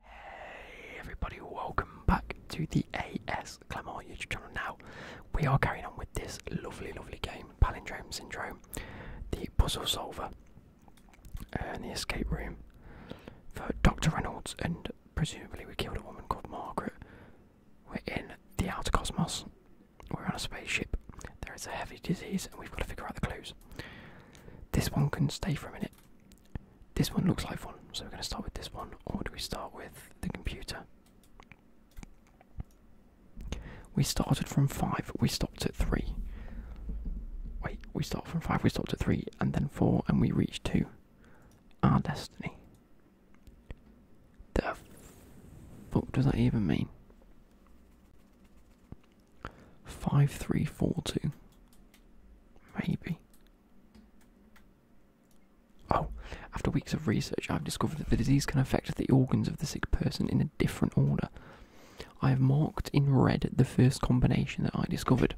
Hey everybody, welcome back to the AS Clamart YouTube channel. Now, we are carrying on with this lovely, lovely game, Palindrome Syndrome, the puzzle solver, and the escape room for Dr. Reynolds, and presumably we killed a woman called Margaret. We're in the outer cosmos, we're on a spaceship, there is a heavy disease, and we've got to figure out the clues. This one can stay for a minute. This one looks like one, so we're going to start with this one, or do we start with the computer? We started from 5, we stopped at 3. Wait, we started from 5, we stopped at 3, and then 4, and we reached 2. Our destiny. The fuck does that even mean? 5342. Maybe. Oh, after weeks of research, I've discovered that the disease can affect the organs of the sick person in a different order. I have marked in red the first combination that I discovered,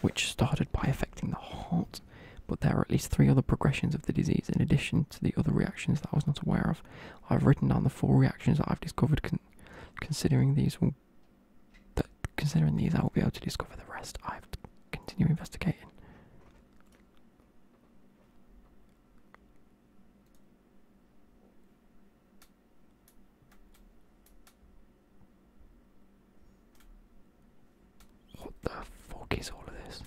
which started by affecting the heart, but there are at least three other progressions of the disease in addition to the other reactions that I was not aware of. I've written down the four reactions that I've discovered, considering these will think considering these, I will be able to discover the rest. I have to continue investigating. What the fuck is all of this?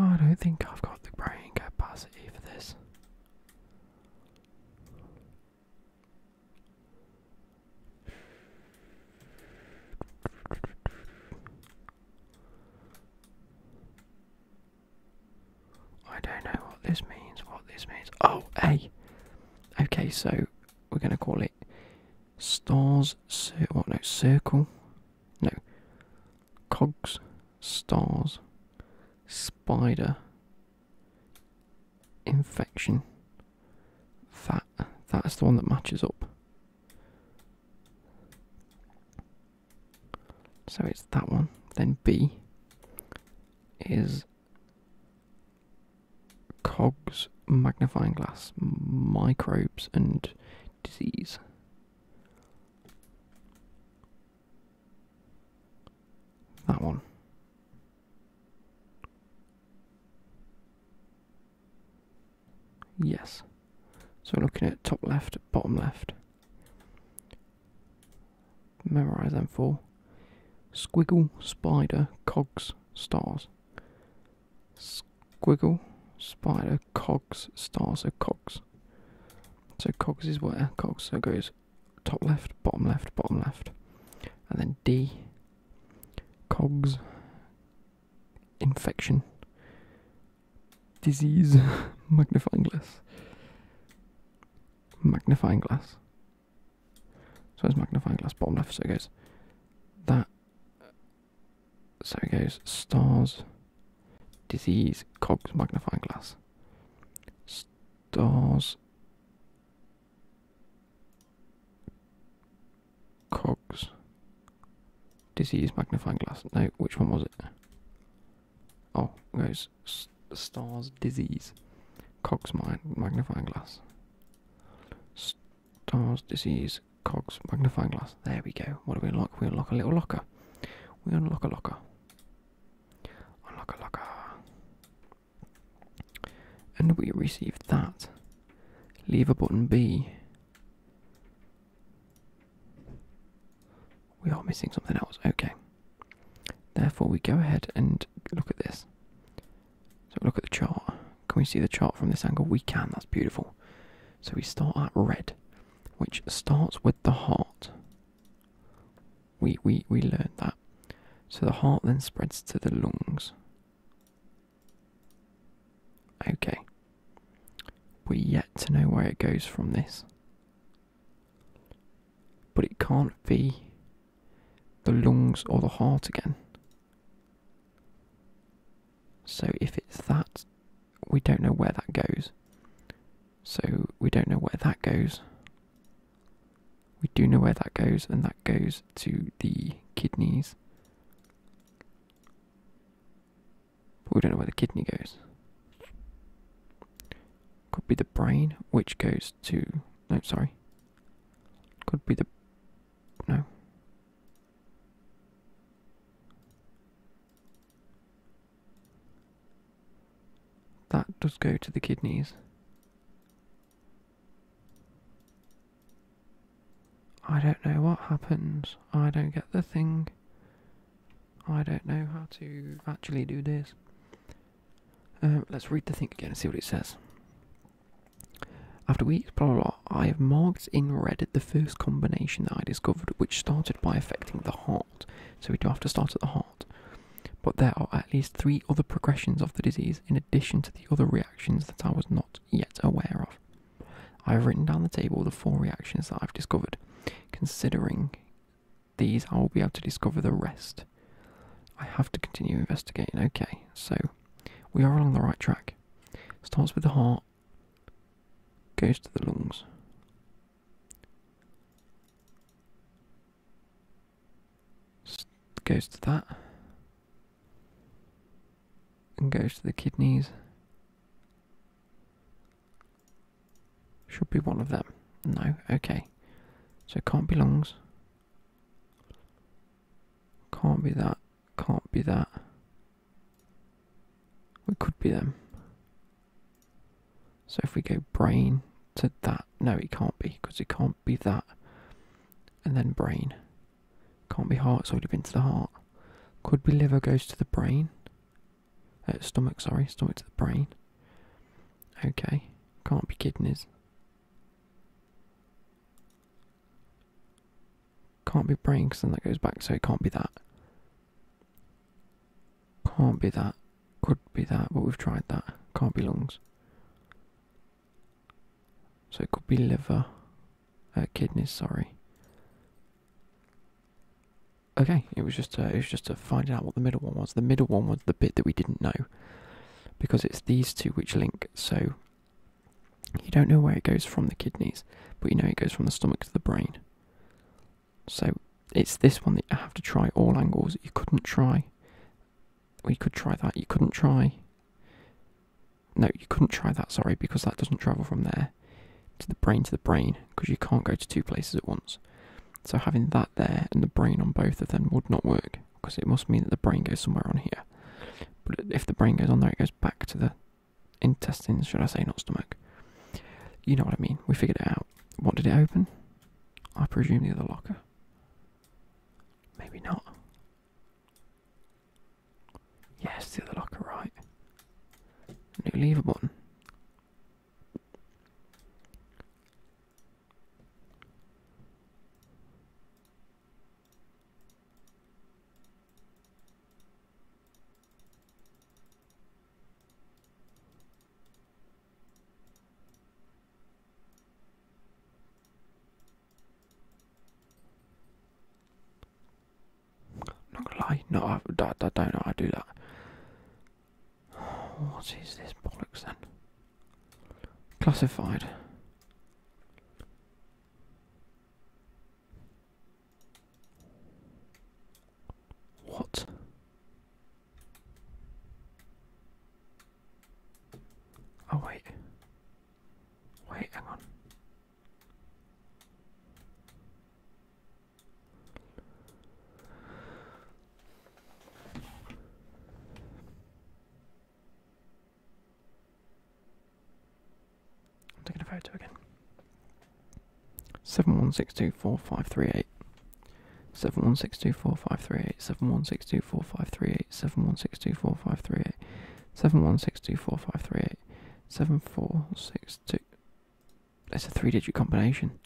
I don't think I've got the brain capacity for this. I don't know what this means, what this means. Oh, hey! Okay, so we're gonna call it stars, what no, circle, no, cogs, stars, spider, infection, that, that's the one that matches up. So it's that one. Then B is cogs magnifying glass, microbes, and disease. That one. Yes. So looking at top left, bottom left. Memorize them for squiggle, spider, cogs, stars. Squiggle, spider, cogs, stars, so cogs. So cogs is where? Cogs, so goes top left, bottom left, bottom left. And then D, cogs, infection, disease, magnifying glass. Magnifying glass. So it's magnifying glass bottom left, so it goes that so it goes stars, disease, cogs, magnifying glass, stars, cogs, disease, magnifying glass. No, which one was it? Oh, it goes stars, disease, cogs, magnifying glass. Stars, disease, cogs, magnifying glass. There we go. What do we unlock? We unlock a little locker. We unlock a locker. Unlock a locker. And we receive that. lever button B. We are missing something else. Okay. Therefore, we go ahead and look at this. So look at the chart. Can we see the chart from this angle? We can, that's beautiful. So we start at red, which starts with the heart. We we we learned that. So the heart then spreads to the lungs. Okay. We're yet to know where it goes from this. But it can't be the lungs or the heart again. So if it's that, we don't know where that goes. So we don't know where that goes. We do know where that goes, and that goes to the kidneys. we don't know where the kidney goes. Could be the brain, which goes to. No, sorry. Could be the. No. That does go to the kidneys. I don't know what happens. I don't get the thing. I don't know how to actually do this. Um, let's read the thing again and see what it says. After weeks, blah, blah, blah, I have marked in red the first combination that I discovered, which started by affecting the heart. So we do have to start at the heart. But there are at least three other progressions of the disease in addition to the other reactions that I was not yet aware of. I have written down the table the four reactions that I've discovered. Considering these, I will be able to discover the rest. I have to continue investigating. Okay, so we are along the right track. Starts with the heart, goes to the lungs. Goes to that and goes to the kidneys. Should be one of them. No, okay. So it can't be lungs. Can't be that. Can't be that. We could be them. So if we go brain to that, no, it can't be because it can't be that. And then brain. Can't be heart, so it would have been to the heart. Could be liver goes to the brain. Uh, stomach, sorry, stomach to the brain. Okay, can't be kidneys. Can't be brains, because then that goes back, so it can't be that. Can't be that. Could be that, but we've tried that. Can't be lungs. So it could be liver. Uh, kidneys, sorry. Okay, it was just to, uh, it was just to find out what the middle one was. The middle one was the bit that we didn't know, because it's these two which link. So you don't know where it goes from the kidneys, but you know it goes from the stomach to the brain. So it's this one that you have to try all angles. You couldn't try. We could try that. You couldn't try. No, you couldn't try that, sorry, because that doesn't travel from there to the brain to the brain, because you can't go to two places at once. So having that there and the brain on both of them would not work because it must mean that the brain goes somewhere on here. But if the brain goes on there, it goes back to the intestines, should I say, not stomach. You know what I mean. We figured it out. What did it open? I presume the other locker. Maybe not. Yes, the other locker, right. New lever button. Not gonna lie, no, I, don't know how do that. What is this bollocks then? Classified. What? Oh, wait. Wait, hang on. I'm taking a photo again. Seven one six two four five three eight. Seven one six two four five three eight. Seven one six two four five three eight. Seven one six two four five three eight. Seven one six two four five three eight. Seven four six two. That's a three-digit combination.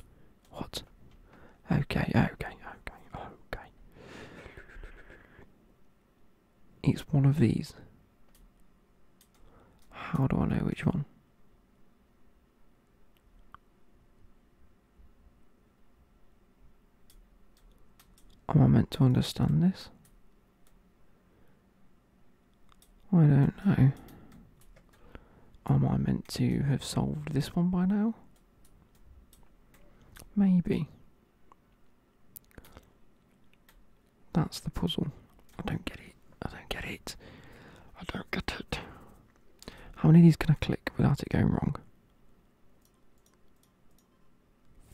What? Okay, okay, okay, okay. It's one of these. How do I know which one? Am I meant to understand this? I don't know. Am I meant to have solved this one by now? Maybe. That's the puzzle. I don't get it. I don't get it. I don't get it. How many of these can I click without it going wrong?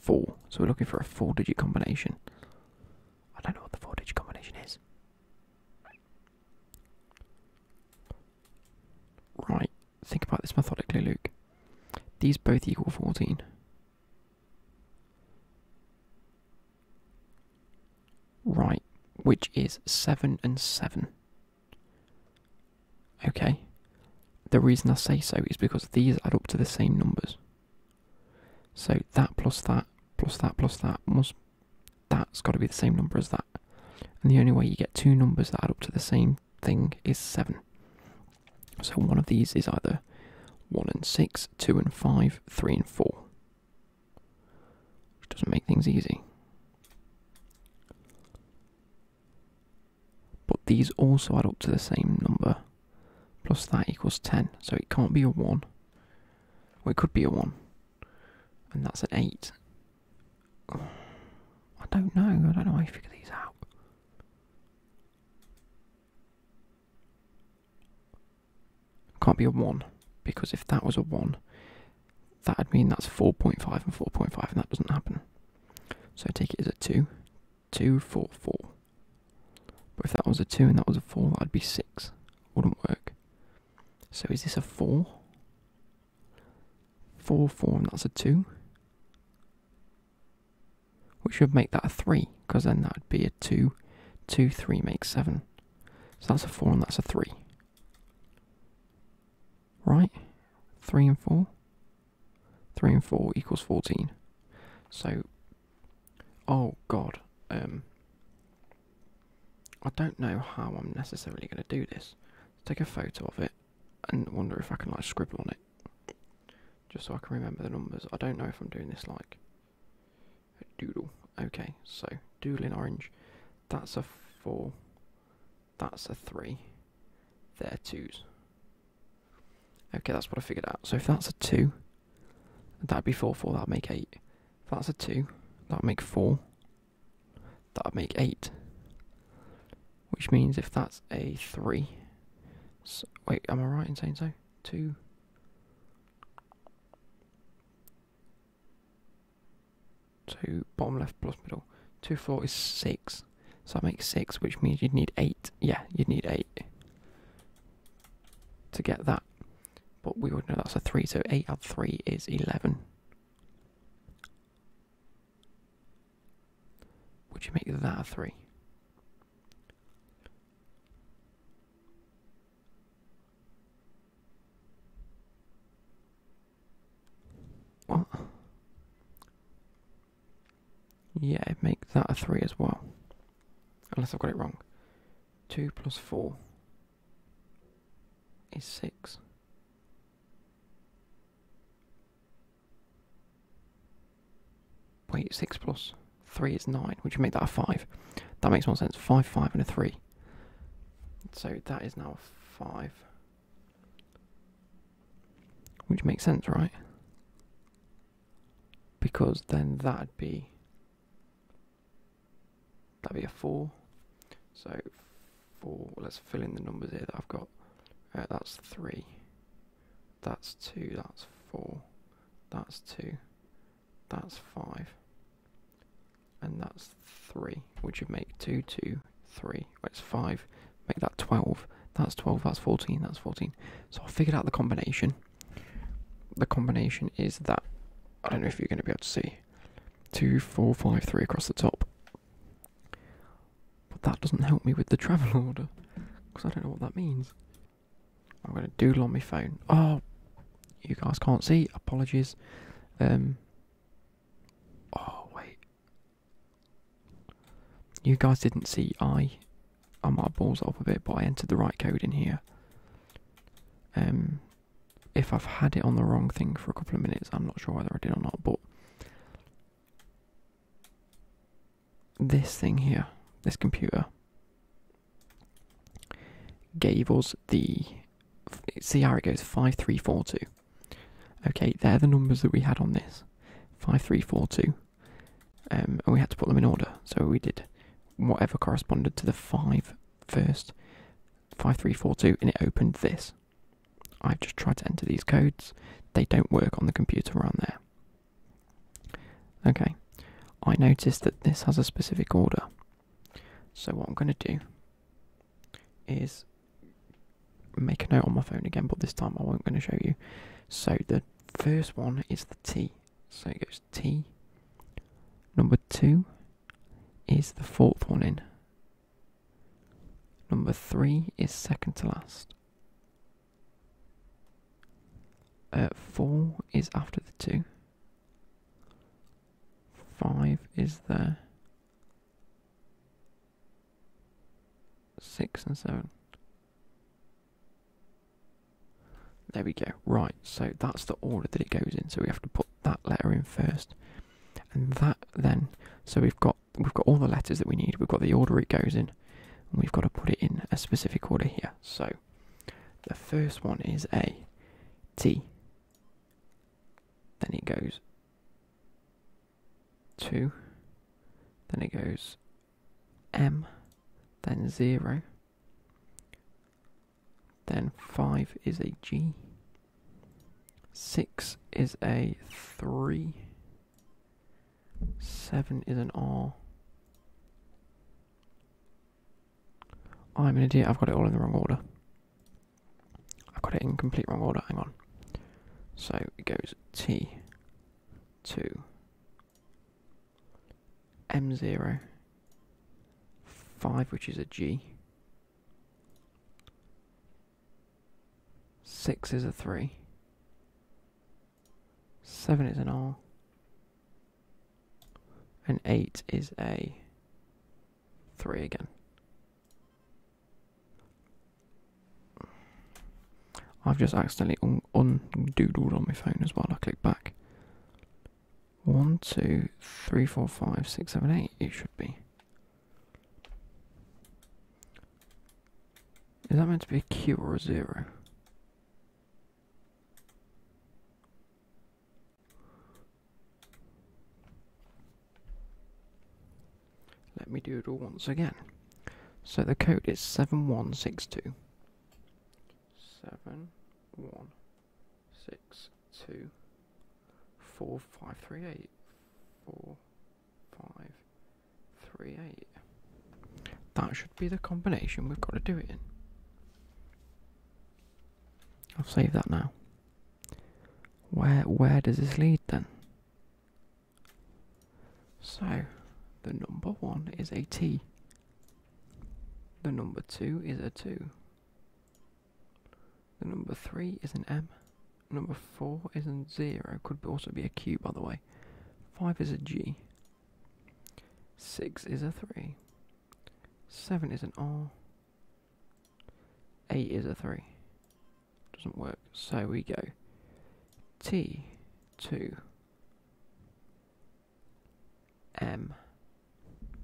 Four. So we're looking for a four digit combination. I don't know what the four digit combination is. Right. Think about this methodically, Luke. These both equal 14. Right, which is 7 and 7. Okay. The reason I say so is because these add up to the same numbers. So that plus that plus that plus that must that's got to be the same number as that. And the only way you get two numbers that add up to the same thing is 7. So one of these is either 1 and 6, 2 and 5, 3 and 4. Which doesn't make things easy. But these also add up to the same number. Plus that equals 10. So it can't be a 1. Well, it could be a 1. And that's an 8. I don't know. I don't know how you figure these out. Can't be a 1, because if that was a 1, that would mean that's 4.5 and 4.5, and that doesn't happen. So I take it as a 2, 2, 4, 4. But if that was a 2 and that was a 4, that would be 6. Wouldn't work. So is this a 4? 4, 4, and that's a 2 which would make that a 3, because then that would be a 2. 2, 3 makes 7. So that's a 4 and that's a 3. Right? 3 and 4? 3 and 4 equals 14. So, oh god, um, I don't know how I'm necessarily going to do this. Let's take a photo of it and wonder if I can like scribble on it, just so I can remember the numbers. I don't know if I'm doing this like a doodle. Okay, so doodle in orange. That's a four. That's a three. They're twos. Okay, that's what I figured out. So if that's a two, that'd be four. Four. That'd make eight. If that's a two, that'd make four. That'd make eight which means if that's a 3. wait, am I right in saying so? 2. Two bottom left plus middle. Two four is six, so that makes six, which means you'd need eight. Yeah, you'd need eight to get that. But we would know that's a three, so eight out of three is eleven. Would you make that a three? Yeah, make that a three as well. Unless I've got it wrong. Two plus four is six. Wait, 6 plus 3 is 9, which would make that a 5. That makes more sense. 5, 5, and a 3. So that is now a 5. Which makes sense, right? Because then that'd be. That'd be a 4. So four. Let's fill in the numbers here that I've got. Uh, that's three. That's two. That's four. That's two. That's five. And that's three, which would make two, two, three. That's five. Make that twelve. That's twelve. That's fourteen. That's fourteen. So I figured out the combination. The combination is that I don't know if you're going to be able to see two, four, five, three across the top, but that doesn't help me with the travel order, because I don't know what that means. I'm going to doodle on my phone. Oh, you guys can't see. Apologies. Um. Oh wait. You guys didn't see. I. I might have balls up a bit, but I entered the right code in here. Um. If I've had it on the wrong thing for a couple of minutes, I'm not sure whether I did or not, but this thing here, this computer, gave us the. See how it goes 5342. Okay, they're the numbers that we had on this 5342. Um, and we had to put them in order. So we did whatever corresponded to the 5 first, 5342, and it opened this. I've just tried to enter these codes. They don't work on the computer around there. Okay, I notice that this has a specific order. So what I'm going to do is make a note on my phone again, but this time I will not going to show you. So the first one is the T. So it goes T. Number two is the fourth one in. Number three is second to last. Uh, four is after the two. Five is there. Six and seven. There we go. Right, so that's the order that it goes in. So we have to put that letter in first. And that then, so we've got we've got all the letters that we need. We've got the order it goes in, and we've got to put it in a specific order here. So the first one is A T. Then it goes two. Then it goes M. Then zero. Then five is a G. Six is a three. Seven is an R. I'm an idiot, I've got it all in the wrong order. I've got it in complete wrong order, hang on. So it goes T, 2, M0, 5, which is a G, Six is a three. Seven is an R. And eight is a three again. I've just accidentally un undoodled on my phone as well. I click back. One, two, three, four, five, six, seven, eight. It should be. Is that meant to be a Q or a zero? Let me do it all once again. So the code is 7162. 7162 4538 4 five, three, eight. That should be the combination we've got to do it in. I'll save that now. Where where does this lead then? So the number one is a T. The number two is a two. The number three is an M. Number 4 isn't 0, could also be a Q by the way. 5 is a G. 6 is a 3. 7 is an R. 8 is a 3. Doesn't work. So we go T, 2, M,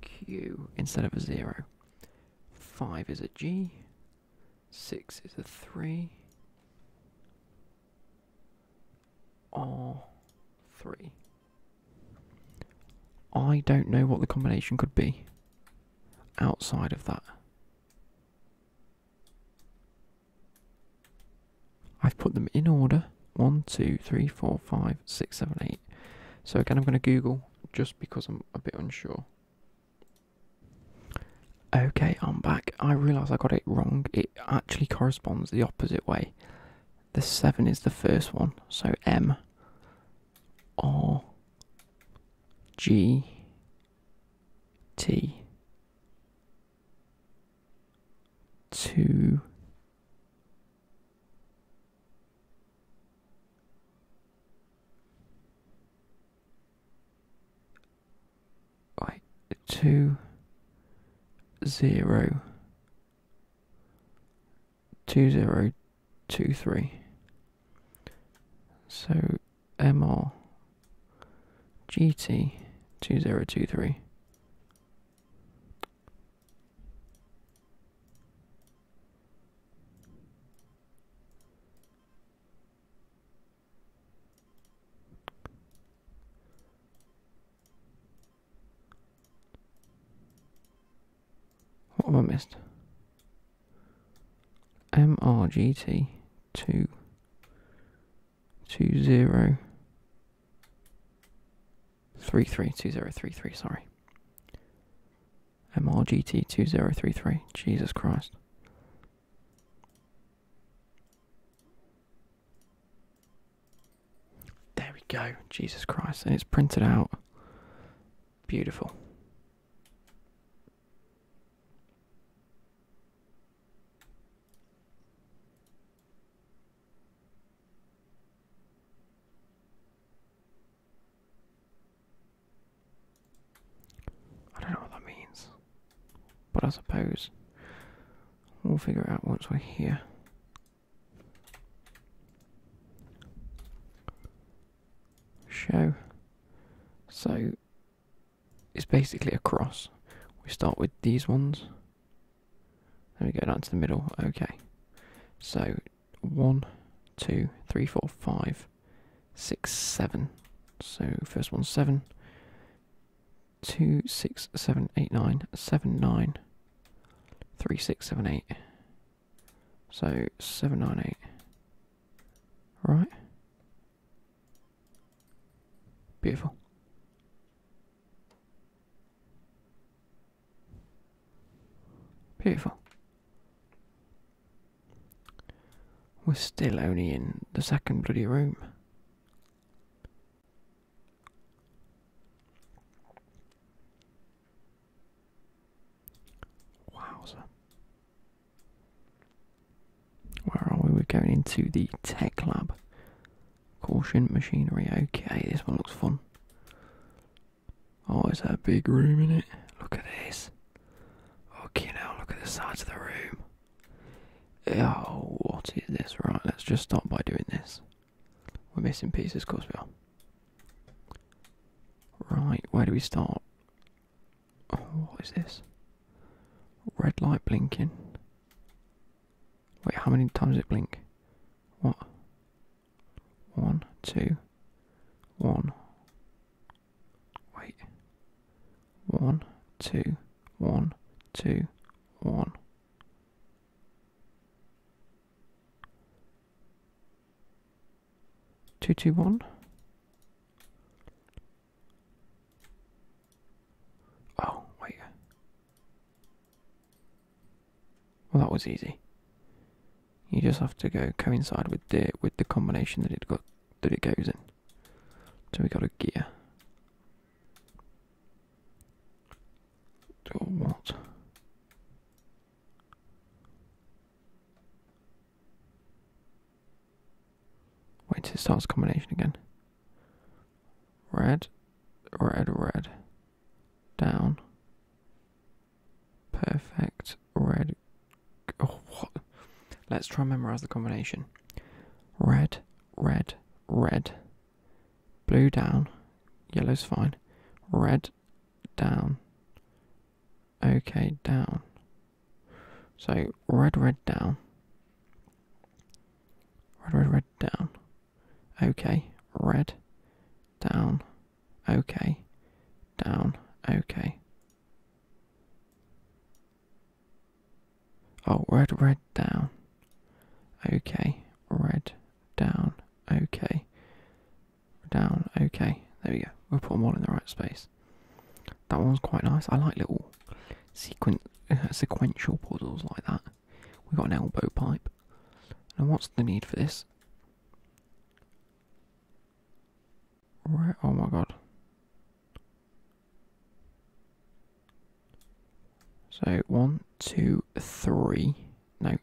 Q instead of a 0. 5 is a G. Six is a three. R three. I don't know what the combination could be outside of that. I've put them in order. One, two, three, four, five, six, seven, eight. So again, I'm going to Google just because I'm a bit unsure. Okay, I'm back. I realise I got it wrong. It actually corresponds the opposite way. The 7 is the first one, so M, R, G, T, 2, Right, two, zero, two, zero, two, three. So MR GT two zero two three. What have I missed? MRGT two two zero three three two zero three three. Sorry. Mr. GT 2033 Jesus Christ. There we go. Jesus Christ. And it's printed out. Beautiful. I don't know what that means, but I suppose we'll figure it out once we're here. Show. So it's basically a cross. We start with these ones. Then we go down to the middle. Okay. So one, two, three, four, five, six, seven. So first one seven, two, six, seven, eight, one seven. Two, six, seven, eight, nine, nine, seven, nine, three, six, seven, eight. So seven, nine, eight. Right. Beautiful. Beautiful. We're still only in the second bloody room. Wowza. Where are we? We're going into the tech lab. Caution machinery. Okay, this one looks fun. Oh, oh, that big room in it. Look at this. Okay, now look at the sides of the room. Oh, what is this? Right, let's just start by doing this. We're missing pieces, of course we are. Right, where do we start? Oh, what is this? Red light blinking. Wait, how many times it blink? What? One, two, one, Wait. One, two, one, two, one. Two, two, one. Oh, wait. Well, that was easy. You just have to go coincide with the with the combination that it got that it goes in. So we got a gear. Or what? Wait till it starts combination again. Red, red, red. Down. Perfect red. Oh, what? Let's try and memorize the combination. Red, red, red. Blue down. Yellow's fine. Red down. Okay, down. So red, red down. Red, red, red down. Okay, red down. Okay. Down. Okay. Oh, red, red, down. Okay. Red, down. Okay. Down. Okay. There we go. We'll put them all in the right space. That one's quite nice. I like little sequen sequential puzzles like that. We've got an elbow pipe. Now, what's the need for this? Where? Oh my god. So one, two, three. No.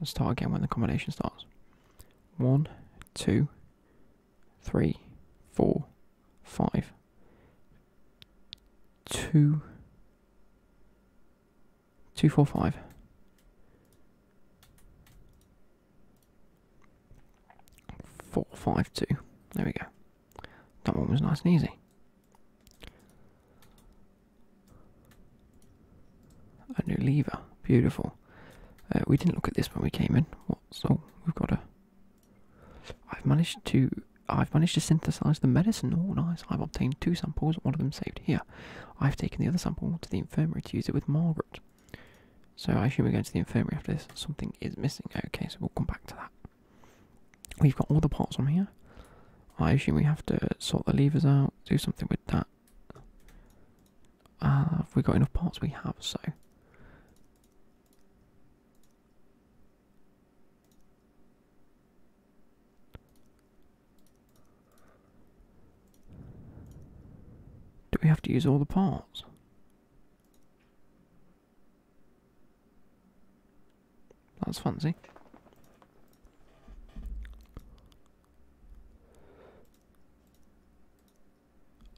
Let's start again when the combination starts. One, two, three, four, five, two, Two, four, five. Four, five, two. There we go. That one was nice and easy. A new lever. Beautiful. Uh, we didn't look at this when we came in. What? So we've got a. I've managed to. I've managed to synthesize the medicine. Oh, nice! I've obtained two samples. One of them saved here. I've taken the other sample to the infirmary to use it with Margaret. So I assume we're going to the infirmary after this. Something is missing. Okay, so we'll come back to that. We've got all the parts on here. I assume we have to sort the levers out, do something with that. Uh, have we got enough parts? We have, so. Do we have to use all the parts? That's fancy.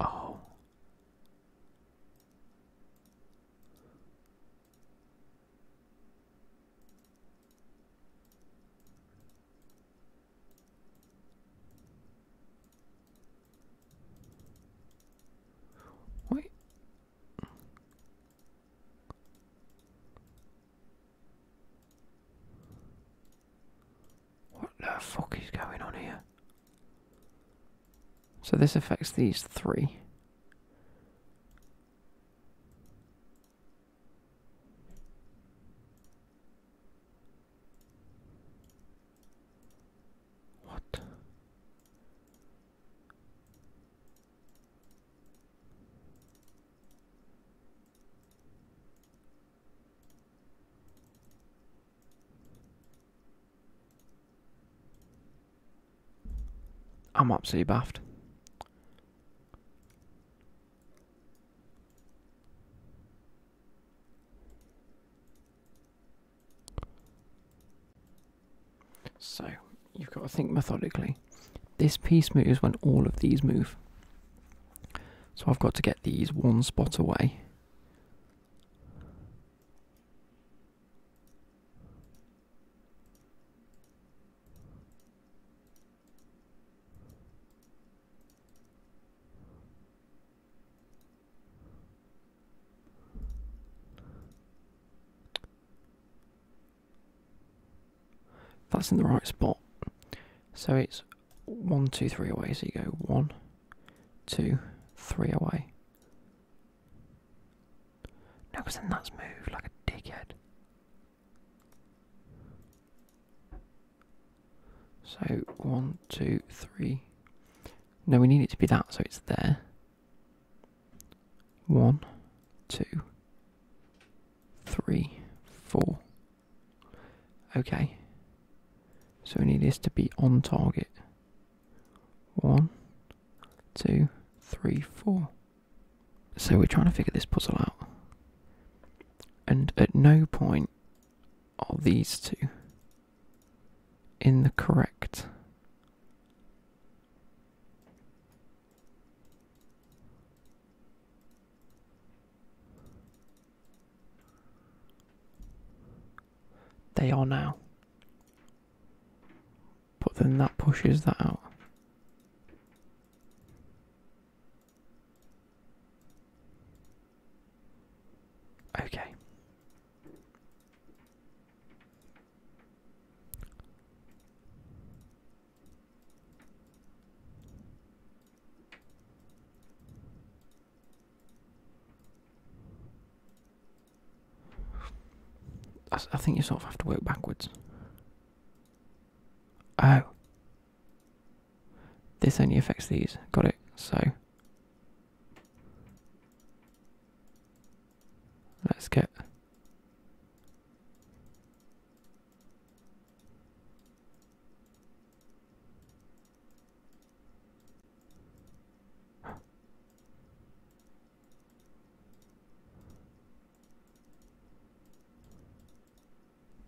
Oh. What the fuck is going on here? So this affects these three. What? I'm absolutely baffled. So you've got to think methodically. This piece moves when all of these move. So I've got to get these one spot away. That's in the right spot. So it's one, two, three away. So you go one, two, three away. No, because then that's moved like a dickhead. So one, two, three. No, we need it to be that, so it's there. One, two, three, four. Okay. So we need this to be on target. One, two, three, four. So we're trying to figure this puzzle out. And at no point are these two in the correct. They are now. But then that pushes that out. Okay. I, think you sort of have to work backwards. Oh, this only affects these. Got it. So let's get.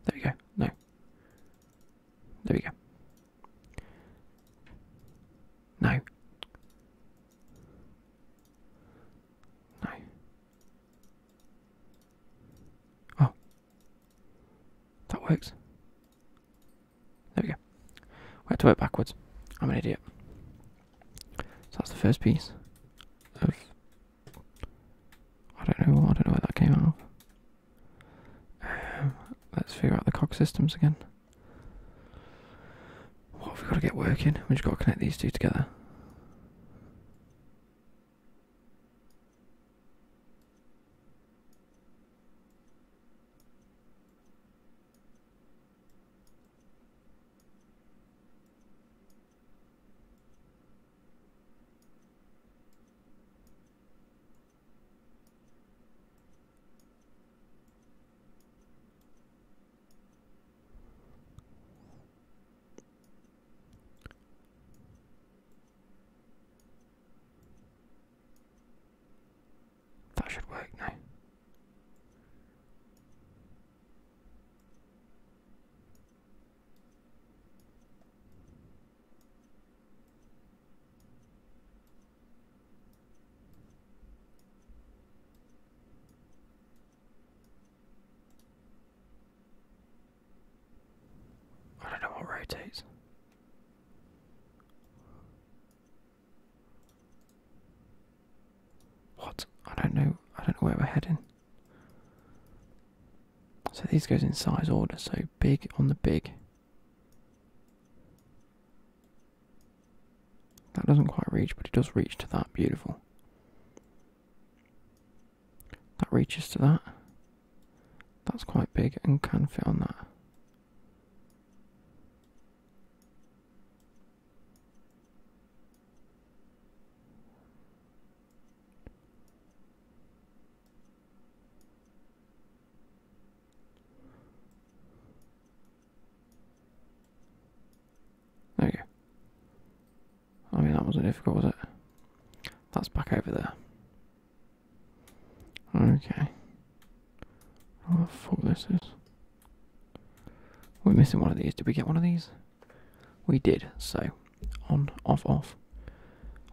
There we go. No. There we go. No. No. Oh. That works. There we go. We have to work backwards. I'm an idiot. So that's the first piece of I don't know. I don't know where that came out of. Um, let's figure out the cog systems again. What have we got to get working? We just got to connect these two together. That should work now. I don't know what rotates. What? I don't know. I don't know where we're heading. So these goes in size order, so big on the big. That doesn't quite reach, but it does reach to that, beautiful. That reaches to that. That's quite big and can fit on that. Okay. I mean, that wasn't difficult, was it? That's back over there. Okay. What fuck this is? We're missing one of these. Did we get one of these? We did, so on, off, off,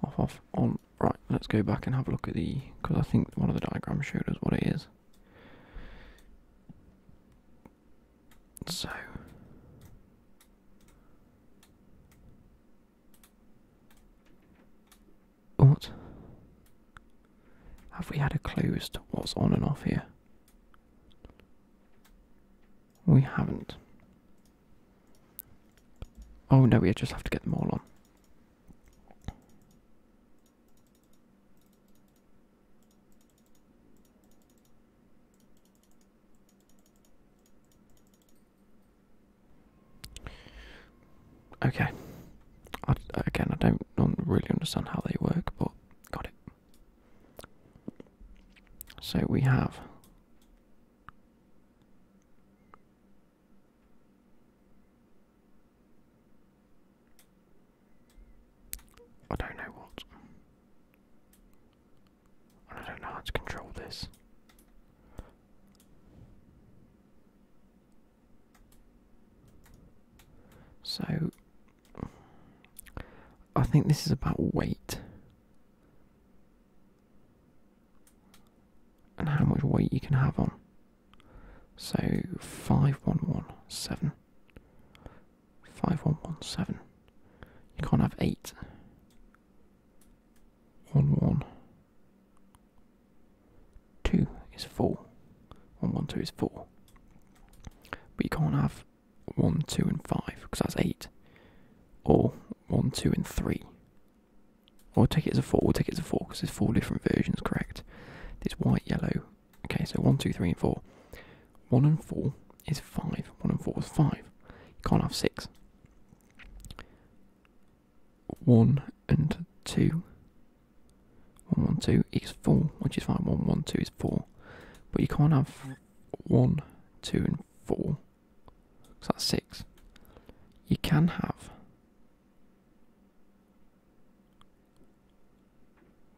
off, off, on. Right, let's go back and have a look at the, because I think one of the diagrams showed us what it is. So, what? Have we had a clue as to what's on and off here? We haven't. Oh no, we just have to get them all on. Okay. again, I don't really understand how they work, but got it. So we have I don't know what. I don't know how to control this. So I think this is about weight and how much weight you can have on. So five one one seven. Five one one seven. You can't have eight. One one. Two is four. One one two is four. But you can't have 1, 2, and 5, because that's 8. Or 1, 2, and 3. Or take it as a 4, take it as a 4, because there's 4 different versions, correct? This white, yellow. Okay, so 1, 2, 3, and 4. 1 and 4 is 5. 1 and 4 is 5. You can't have 6. 1 and 2. 1, 1, 2 is 4, which is fine. 1, 1, 2 is 4. But you can't have one, two, and four. So that's six. You can have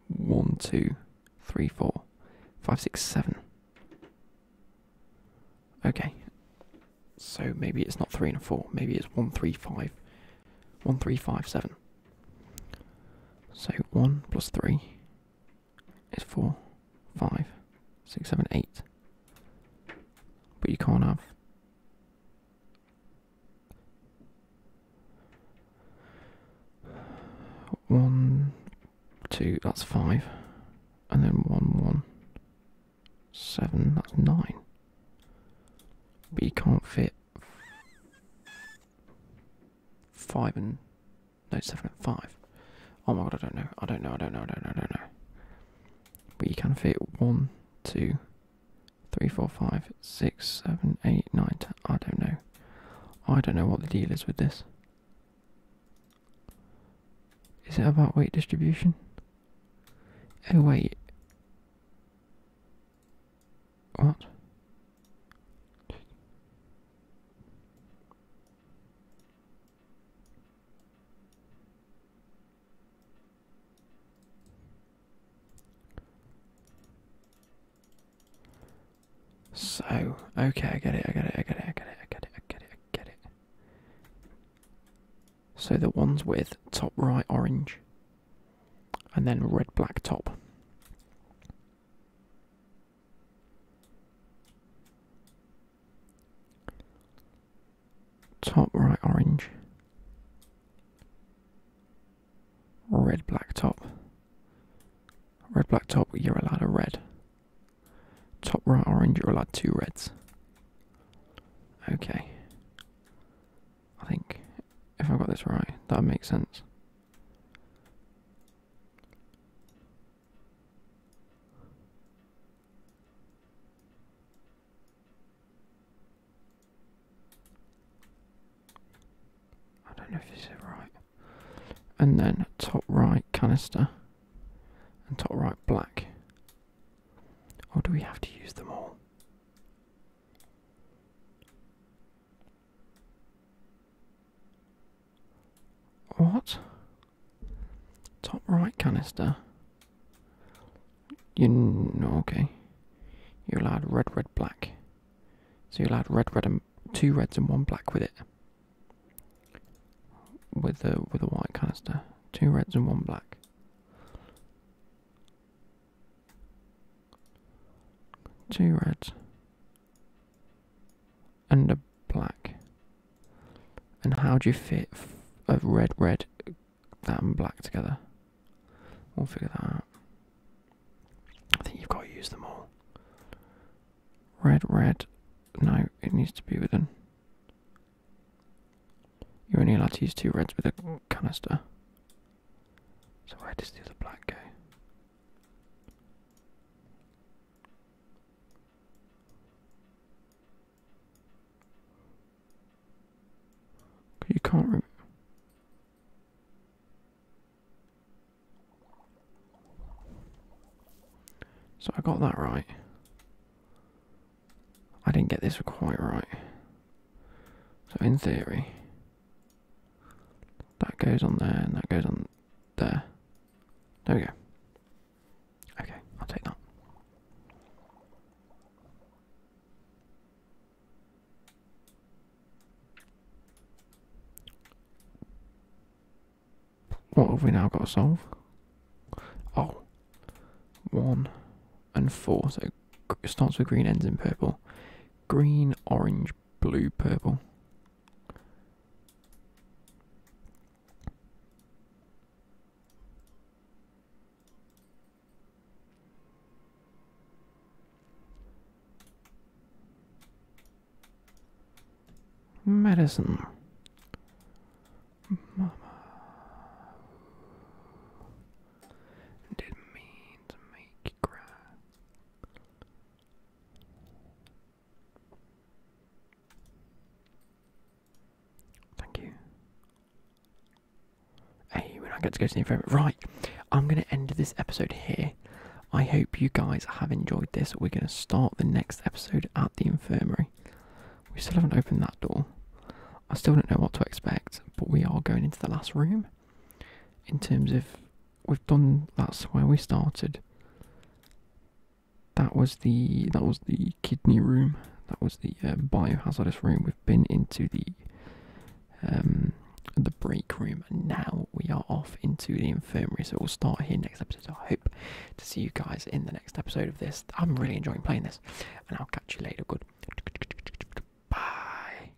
one, two, three, four, five, six, seven. Okay. So maybe it's not three and four. Maybe it's one, three, five. One, three, five, seven. So one plus three is four, five, six, seven, eight. But you can't have. One, two, that's five. And then one, one, seven, that's nine. But you can't fit five and no, seven and five. Oh my god, I don't know. I don't know. I don't know. I don't know. I don't know. We can fit one, two, three, four, five, six, seven, eight, nine. Ten. I don't know. I don't know what the deal is with this. Is it about weight distribution? Oh wait. What? So, okay, I get it, I get it, I get it, I get it, I get it, I get it, I get it. So the ones with top right orange and then red black top. Top right orange. Red black top. Red black top, you're allowed a red. Top right orange, you're allowed two reds. Okay. I think if I got this right, that makes sense. I don't know if you said right. And then top right canister and top right black. Or do we have to use them all? What? Top right canister. You okay. You're allowed red, red, black. So you're allowed red, red, and two reds and one black with it. With the with a white canister, two reds and one black. Two reds. And a black. And how do you fit a red, red, that and black together? We'll figure that out. I think you've got to use them all. Red, red. No, it needs to be within. You're only allowed to use two reds with a canister. So where does the black go? You can't. so I got that right. I didn't get this quite right. So in theory, that goes on there and that goes on there. There we go. Okay, I'll take that. What have we now got to solve? Oh, one and four. So it starts with green, ends in purple. Green, orange, blue purple. Medicine. Mama. did mean to make you cry. Thank you. Hey, when I get to go to the infirmary. Right, I'm going to end this episode here. I hope you guys have enjoyed this. We're going to start the next episode at the infirmary. We still haven't opened that door. I still don't know what to expect, but we are going into the last room in terms of we've done that's where we started. That was the that was the kidney room. That was the um, biohazardous room. We've been into the um, the break room, and now we are off into the infirmary. So we'll start here next episode. I hope to see you guys in the next episode of this. I'm really enjoying playing this, and I'll catch you later. Good. Bye.